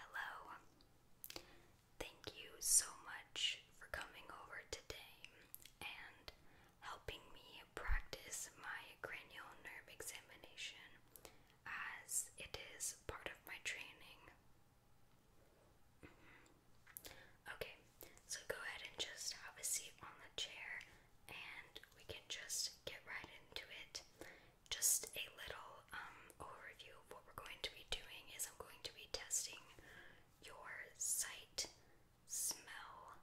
Hello. Thank you so much for coming over today and helping me practice my cranial nerve examination as it is part of my training. Mm-hmm. Okay, so go ahead and just have a seat on the chair and we can just get right into it just a little um, overview of what we're going to be doing is I'm going to be testing your sight, smell,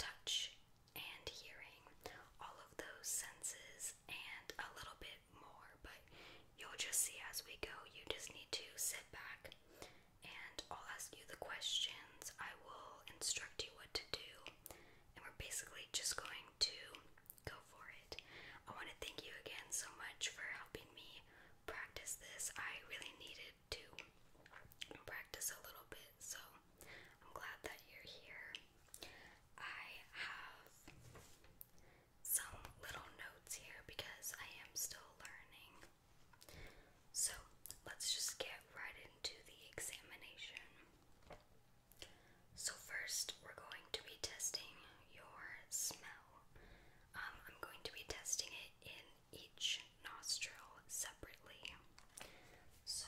touch, and hearing. All of those senses and a little bit more, but you'll just see as we go. You just need to sit back and I'll ask you the questions. I will instruct you what to do, and we're basically just going to go for it. I want to thank you again so much for helping me practice this. I really needed to practice a little bit, so I'm glad that you're here. I have some little notes here because I am still learning. So let's just get right into the examination. So, first, we're going to be testing your smell. Um, I'm going to be testing it in each nostril separately. So,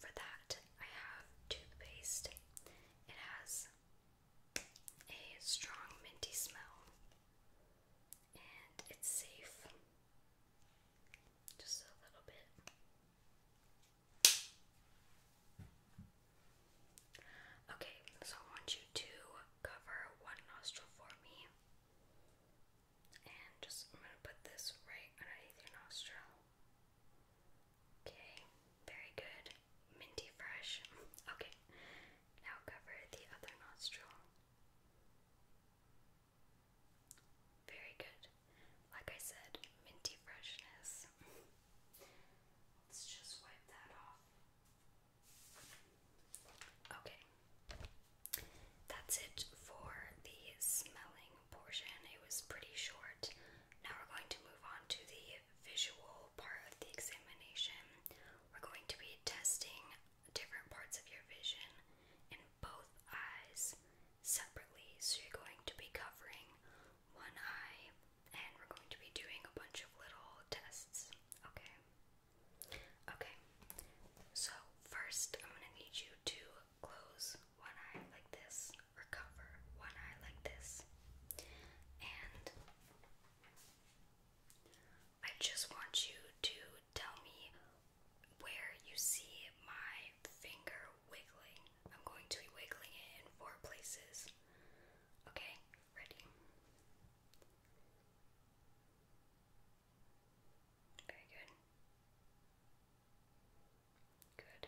for that, I have toothpaste. It has a strong minty smell, and it's safe. Just a little bit. Okay, so I want you to cover one nostril for me. And just, I'm going to put this right underneath your nostril. Okay, very good. Minty fresh. Okay, now cover the other nostril. Very good. Like I said, minty freshness. Let's just wipe that off. Okay. That's it for the smelling portion. It was pretty short. Now we're going to move on to the visual part of the examination. We're going to be testing different parts of your vision in both eyes separately. So you're going to be covering one eye and we're going to be doing a bunch of little tests. Okay. Okay. So first I'm gonna need you to close one eye like this, or cover one eye like this. And I just want you to tell me where you see my finger wiggling. I'm going to be wiggling it in four places. Okay, ready? Very good. Good.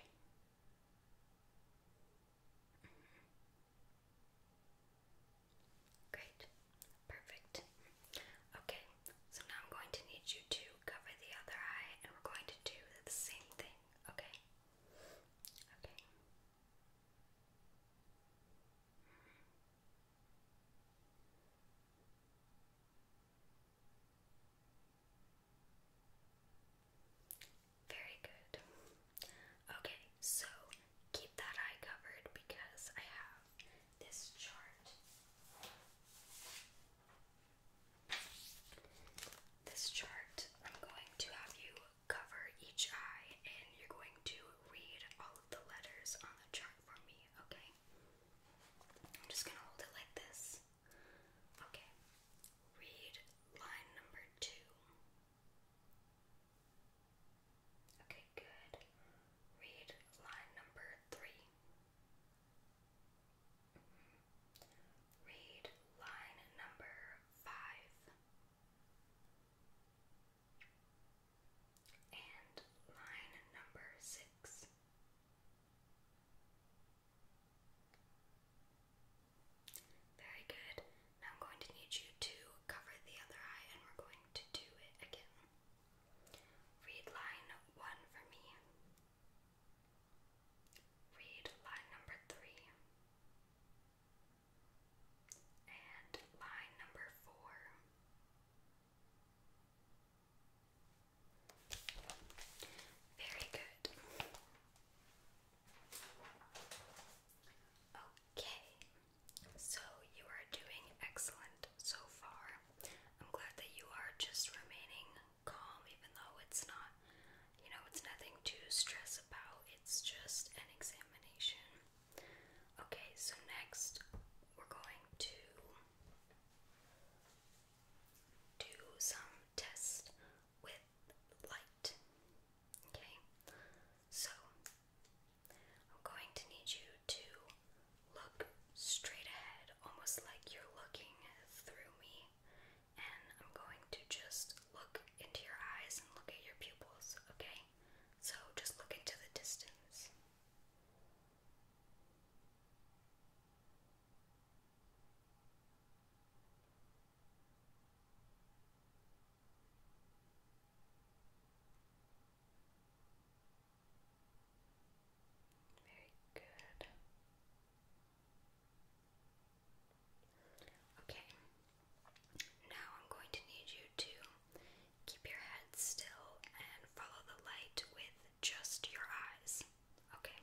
Mm-hmm. Great. Perfect. Okay, so now I'm going to need you to cover the other eye and we're going to do the same thing, okay? Okay. Very good. Okay, so keep that eye covered because I have this chart. This chart, I'm going to have you cover each eye and you're going to read all of the letters on the chart for me, okay? I'm just going to hold it like this. Okay. Read line number two. Okay, good. Read line number three. Read line number five. And line number six. Very good. I'm going to need you to cover the other eye and we're going to do it again. Read line one for me. Read line number three. And line number four. Very good. Okay, so you are doing excellent so far. I'm glad that you are just remaining calm, even though it's not, you know, it's nothing to stress about. It's just an examination. Okay, so next we're going to do some test with light. Okay, so I'm going to need you to look straight ahead, almost like you're looking through me. And I'm going to just look into your eyes and look at your pupils, okay? So just look into the distance. Very good. Okay. Now I'm going to need you to keep your head still and follow the light with just your eyes. Okay.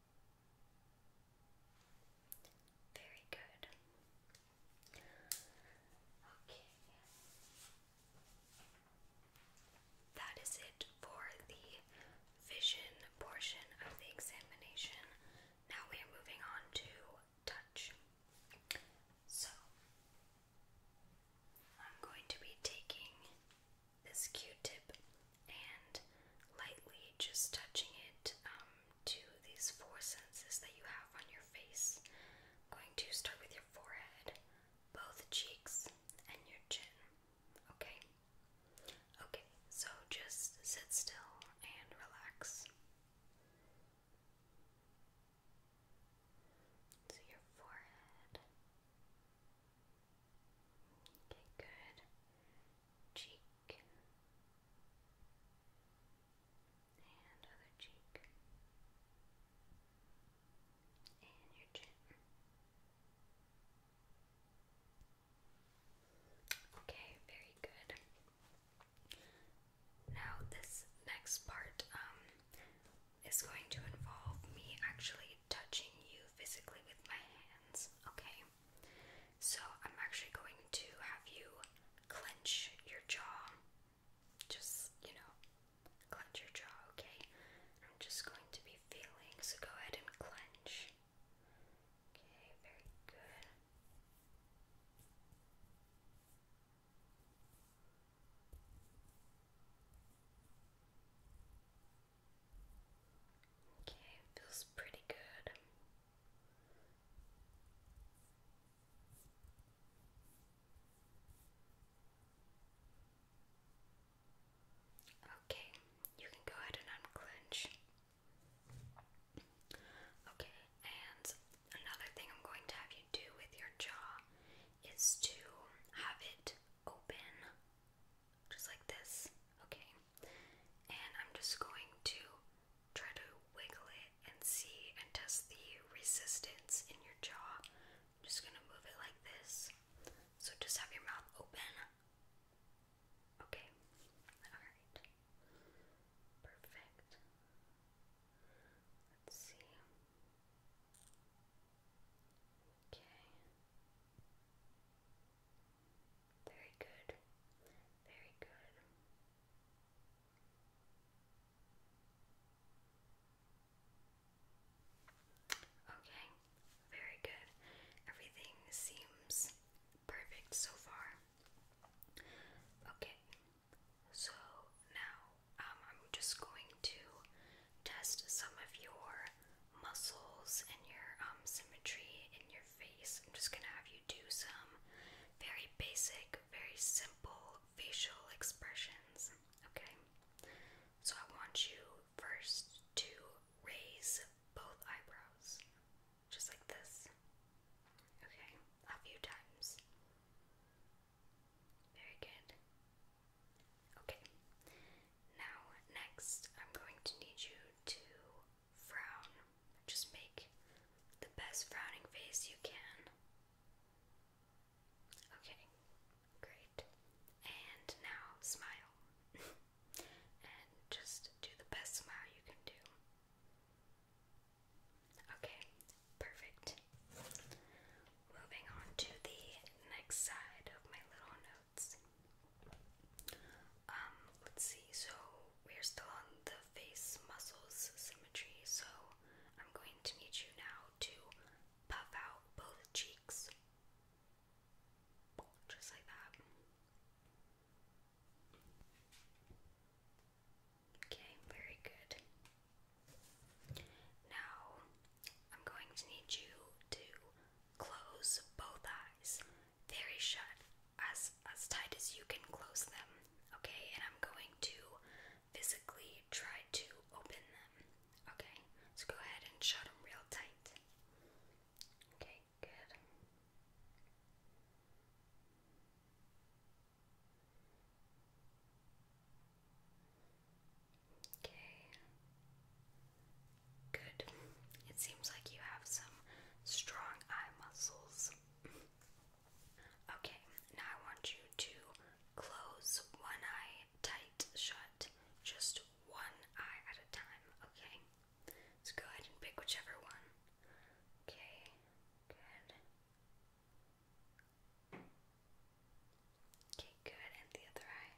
Very good. Okay. That is it for the vision portion of the examination. Now we are moving on to touch. So, I'm going to be taking this Q tip and lightly just touching it um, to these four senses that you have on your face. going to start with your forehead, both cheeks, and your chin. Okay? Okay, so just sit still and relax. So your forehead. Okay, good. Cheek and other cheek and your chin. Okay, very good. Now, this next part um, is going to involve me actually touching you physically with my hands, okay? So I'm actually going to have you clench your jaw. Just, you know, clench your jaw, okay? I'm just going to be feeling, so go ahead and clench. Okay, very good. Okay, feels pretty good. Okay, you can go ahead and unclench. Okay, and another thing I'm going to have you do with your jaw is to have it open just like this, okay? And I'm just going to try to wiggle it and see and test the resistance in your jaw. just gonna move it like this. So just have your mouth open. Okay, alright. Perfect. Let's see. Okay. Very good. Very good. Okay, very good. Everything seems perfect so far. Okay, so now um, I'm just going to test some of your muscles and your um, symmetry in your face. I'm just gonna have you do some very basic, very simple facial expressions. Okay? So I want you first to raise both eyebrows, just like this. Okay? A few times. Very good. Okay, now next I'm going to need you to frown. Just make the best frowning face you can. Okay, great. And now smile. and just do the best smile you can do. Okay, perfect. Moving on to the next side of my little notes. Um, let's see, so we're still on the face muscles symmetry, so I'm going to meet you now to puff out both cheeks. Just like that. Okay, very good. Now, I'm going to need you to close both eyes very shut, as as tight as you can close them, okay? And I'm going to physically try to open them, okay? So go ahead and shut them real tight. Okay, good. Okay. Good. It seems like you have some strong eye muscles. Okay, now I want you to close one eye tight shut, just one eye at a time, okay? So go ahead and pick whichever one. Okay, good. Okay, good. And the other eye.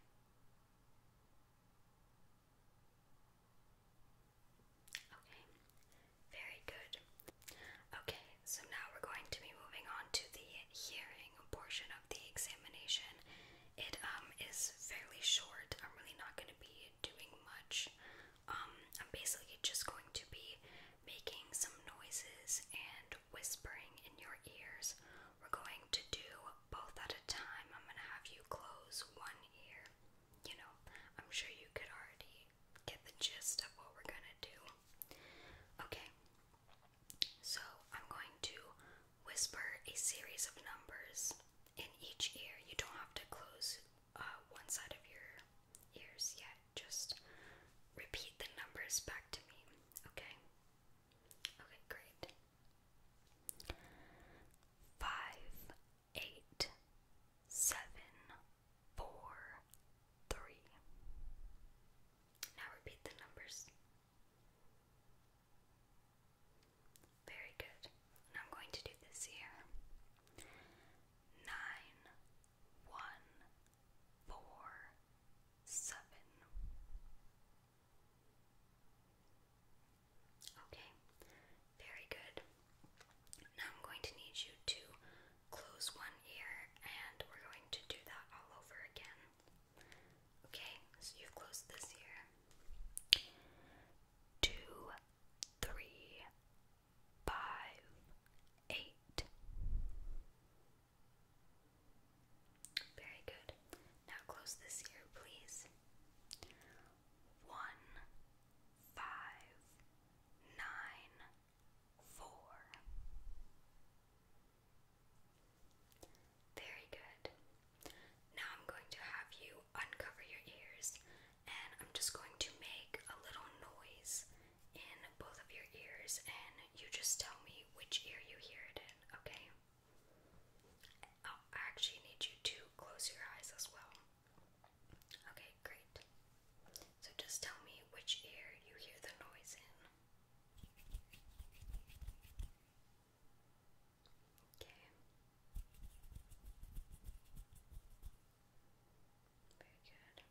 Okay, very good. Okay, so now we're going to be moving on to the hearing portion of the examination. It um is fairly short. I'm really not going to be doing much. Um, I'm basically just going to be making some noises and whispering in your ears. We're going to do both at a time. I'm going to have you close one ear. You know, I'm sure you could already get the gist of what we're going to do. Okay, so I'm going to whisper a series of numbers in each ear. You don't have to close uh, one side of your ears yet just repeat the numbers back to me, okay? Okay, great. Five, eight, seven, four, three. Now repeat the numbers. Very good. I'm going to do this here. Nine, one, four, seven. Okay, very good. Now I'm going to need you to close one ear and we're going to do that all over again. Okay, so you've closed this ear. Two, three, five, eight. Very good. Now close this here, please. One, five, nine, four. Very good. Now I'm going to have you uncover your ears and I'm just going to make a little noise in both of your ears, and you just tell me which ear you hear it in, okay? Oh, I actually need you to close your eyes as well. Okay, great. So just tell me which ear you hear the noise in. Okay. Very good.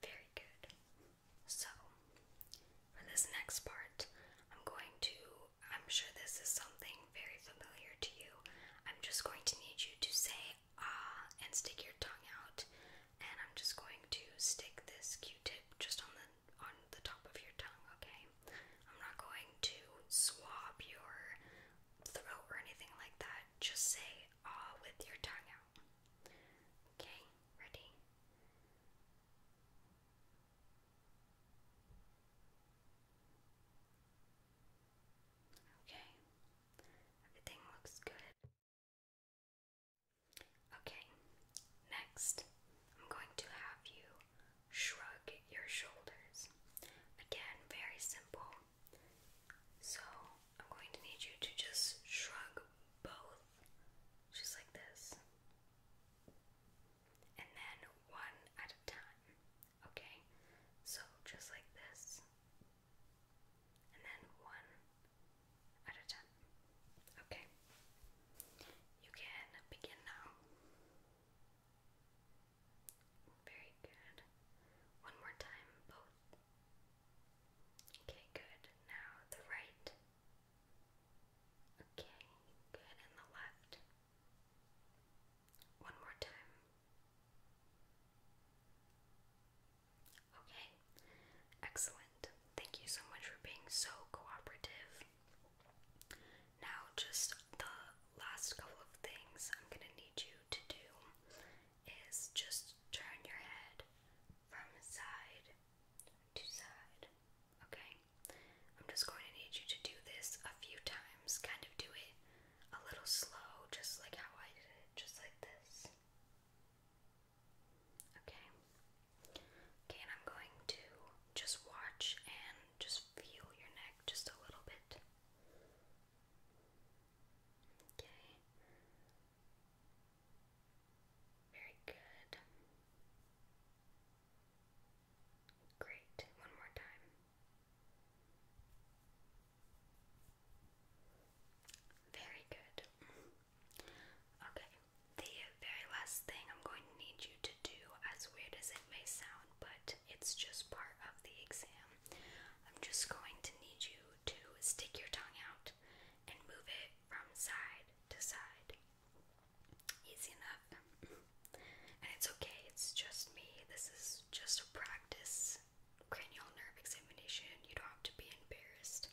Good. Very good. So, for this next part, I'm going to, I'm sure this is something very familiar to you. I'm just going to need you to say ah and stick your tongue out. And I'm just going to stick this q tip just on the on the top of your tongue, okay? I'm not going to swab your throat or anything like that. Just say ah with your tongue out. Okay, ready? Okay, everything looks good. Okay, next I'm going to have you shrug your shoulders. Again, very simple. So I'm going to need you to just shrug both, just like this, and then one at a time. Okay, so just like this, and then one, out of 10. Okay. You can begin now. Very good. One more time, both. Okay, good. Now the right. Okay, good. And the left. One more time. Okay, Excellent. Thank you so much for being so cooperative. Now, just the last couple of things I'm going to need you to do is just turn your head from side to side. Okay? I'm just going to need you to do this a few times. Kind of do it a little slow, just like how I did it, just like this. Okay, Okay, and I'm going to just watch and just feel your neck just a little bit. Okay. Very good. Great. One more time. Very good. Okay. The very last thing I'm going to need you to do, as weird as it may sound, but it's just part of the exam, I'm just going to need you to stick your tongue out and move it from side to side. Easy enough. And it's okay, it's just me. This is just a practice cranial nerve examination. You don't have to be embarrassed.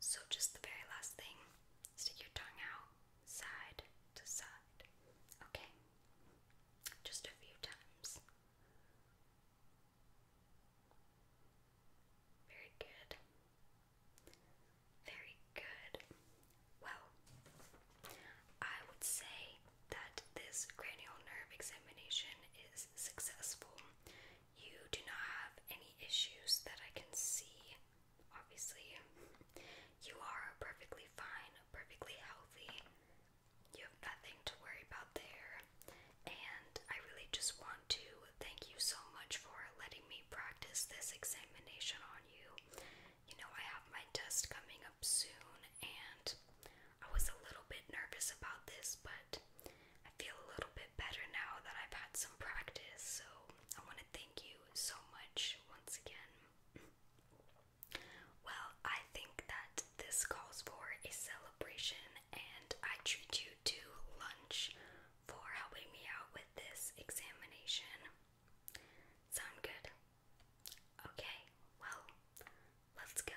So, just the very last thing stick your tongue out side to side, okay? Just a few times. Very good. Very good. Well, I would say that this cranial nerve examination is successful. You do not have any issues that I can see, obviously. You are perfectly fine, perfectly healthy. You have nothing to worry about there. And I really just want to thank you so much for letting me practice this examination on you. You know, I have my test coming up soon, and I was a little bit nervous about this, but I feel a little bit better now that I've had some practice, so I want to thank you so much once again. Well, I think that this calls for a celebration, and I treat you to lunch for helping me out with this examination. Sound good? Okay, well, let's go.